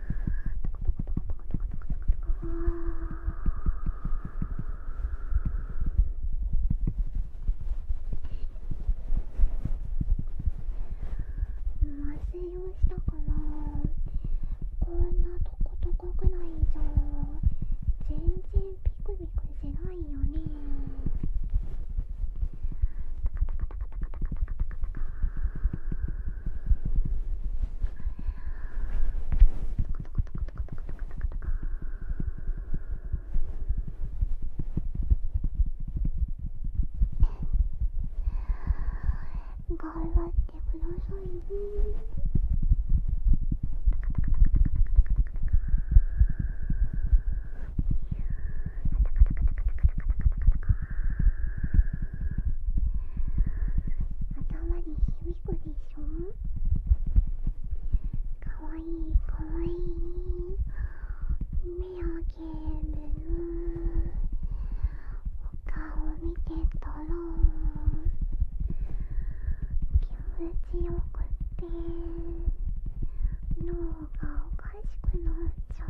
トトトトトトト麻酔をしたからこんなトこトこぐらいじゃ全然ピクピクしないよねー。頑張ってくださいね頭に響くでしょかわいいかわいい目をあげるお顔見てとろう気持ちよくて脳がおかしくなっちゃう。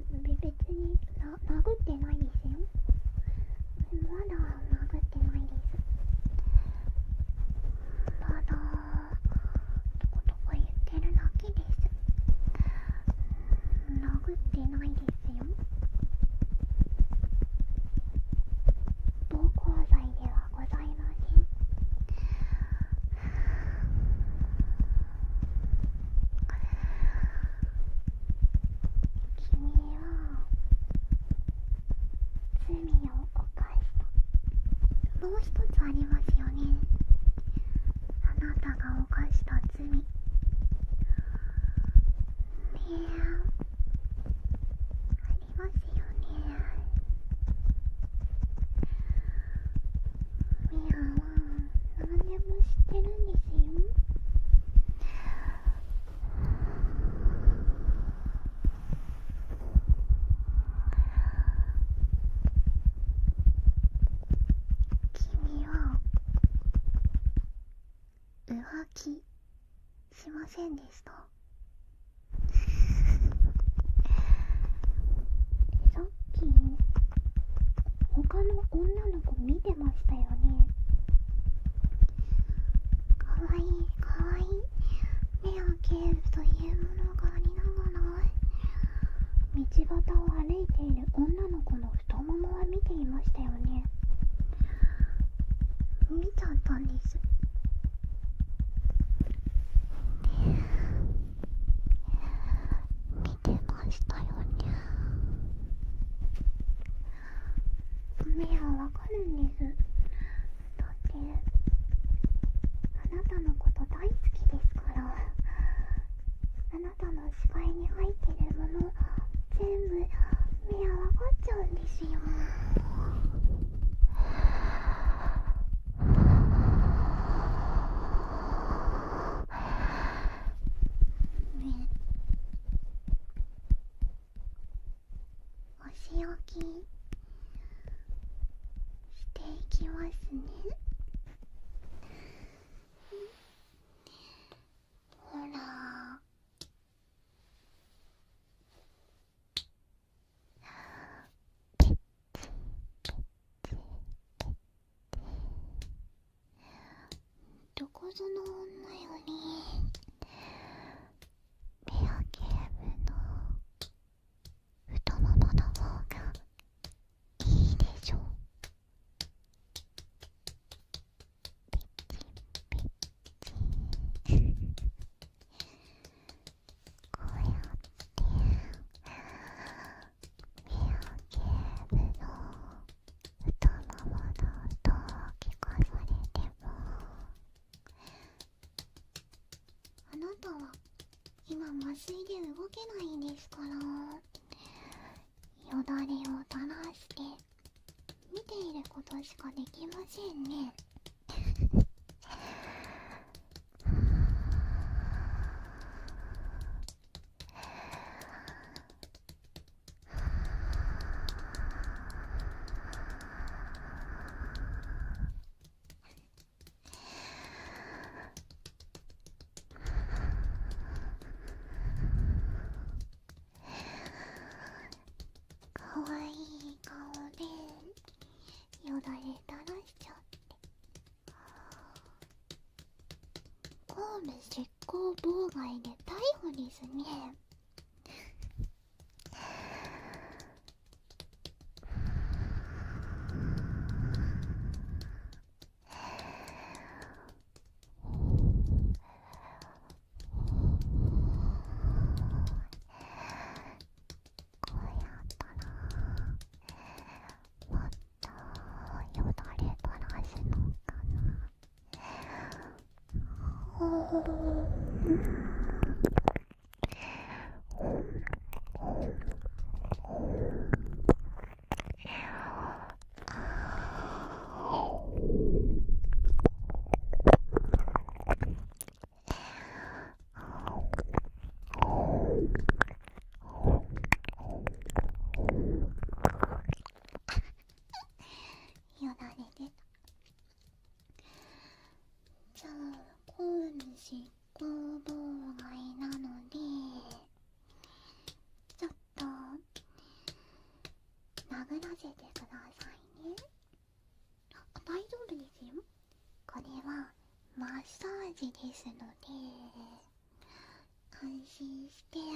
別に殴ってないですよまだ殴ってないですまだとことこ言ってるだけです殴ってないですよ暴行罪ではございません君は罪を犯したもう一つありますよねあなたが犯した罪ねえありますよねみやん、でも知ってるんですよ君は浮気しませんでしたそさっき他の女の子見てましたよねかわいいかわいい目をけるというものがありながら道端を歩いている女の子の太ももは見ていましたよね見ちゃったんです見てましたよね目はわかるんですだってあなたのこと大好きですからあなたの視界に入ってるもの全部目はわかっちゃうんですよねお仕置きしていきますねほらペッどこぞの女よりレアゲームの太ももの方がいいでしょピッチピッチこうやってケーブの太ももの音を聞かされてもあなたは今麻酔で動けないんですからよだれを垂らして見ていることしかできませんねかわいい顔でよだれ垂らしちゃって。公務執行妨害で逮捕ですねこうやったらもっとよだれ垂らすのかなよだれ出たじゃあ公主工房街なのでちょっと殴らせてくださいねあ大丈夫ですよこれはマッサージですので安心してミ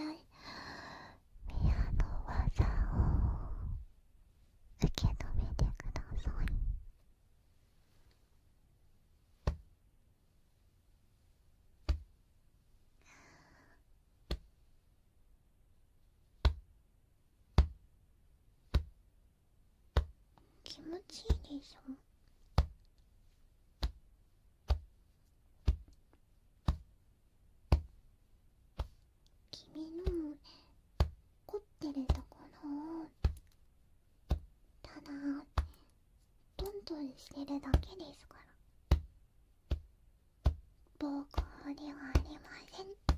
アの技を受け止めてください気持ちいいでしょ君の凝ってるところをただトントンしてるだけですから暴行ではありません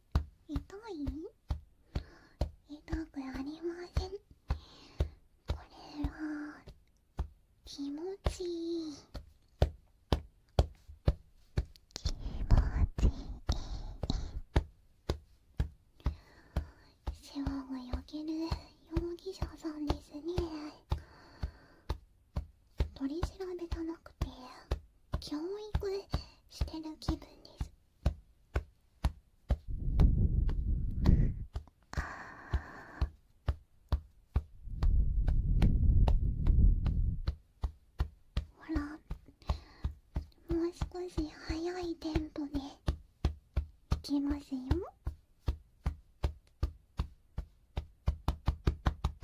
痛い痛くありませんこれは気持ちいい気持ちいい世話がよける容疑者さんですね取り調べじゃなくて教育してる気分ですああ。ほらもう少し早いテンポでいきますよ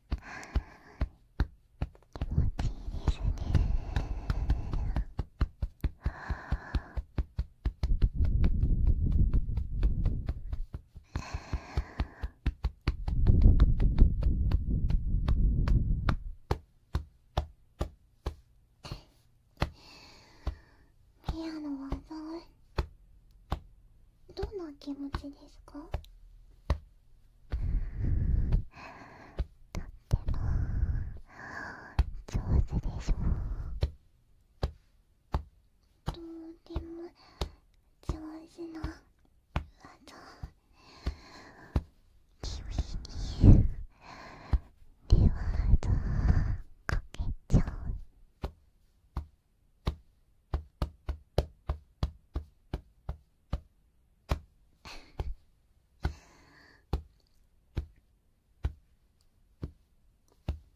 気持ちいいですねピアノはどんな気持ちですかとっても上手でしょとても上手な技君にリワードかけちゃう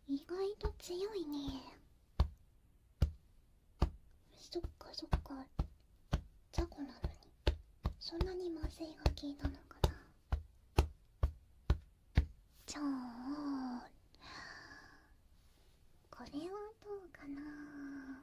意外と強いねそっかそっか雑魚なのにそんなに麻酔が効いたのかなじゃあこれはどうかな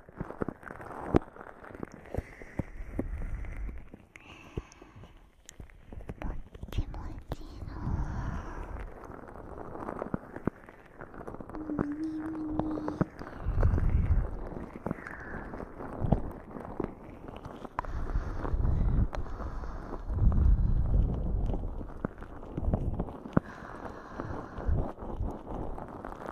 っちもちのむにむに「あ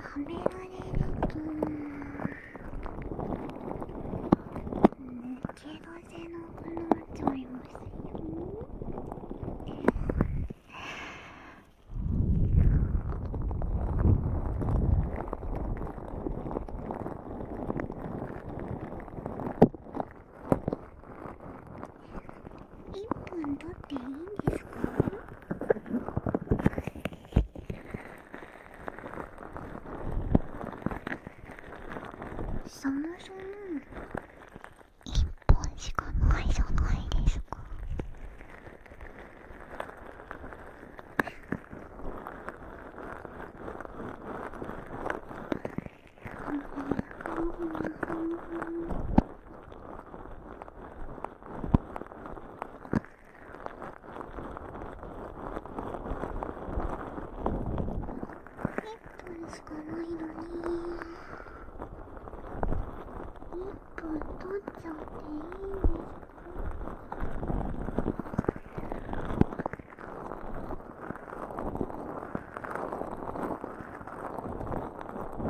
はめられるとねけどせなくなっちゃいますよ一本だっていいんですかそもそも一本しかないじゃないですか 1分しかないのに1分取っちゃっていいんですか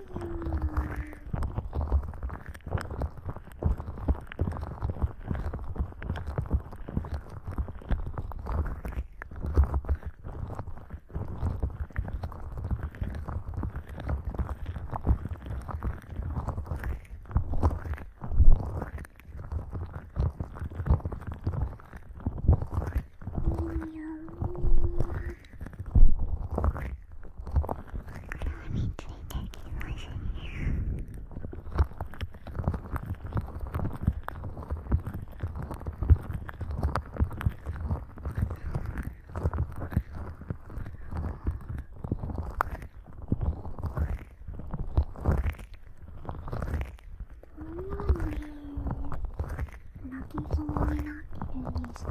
いいよについてきますね。おに泣きそうになってるんですか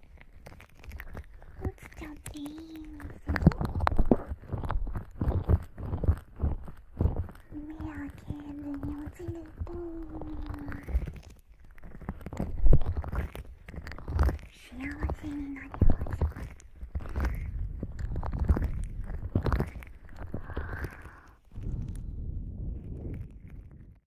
落ちちゃっていいんです目開けずに落ちると幸せになります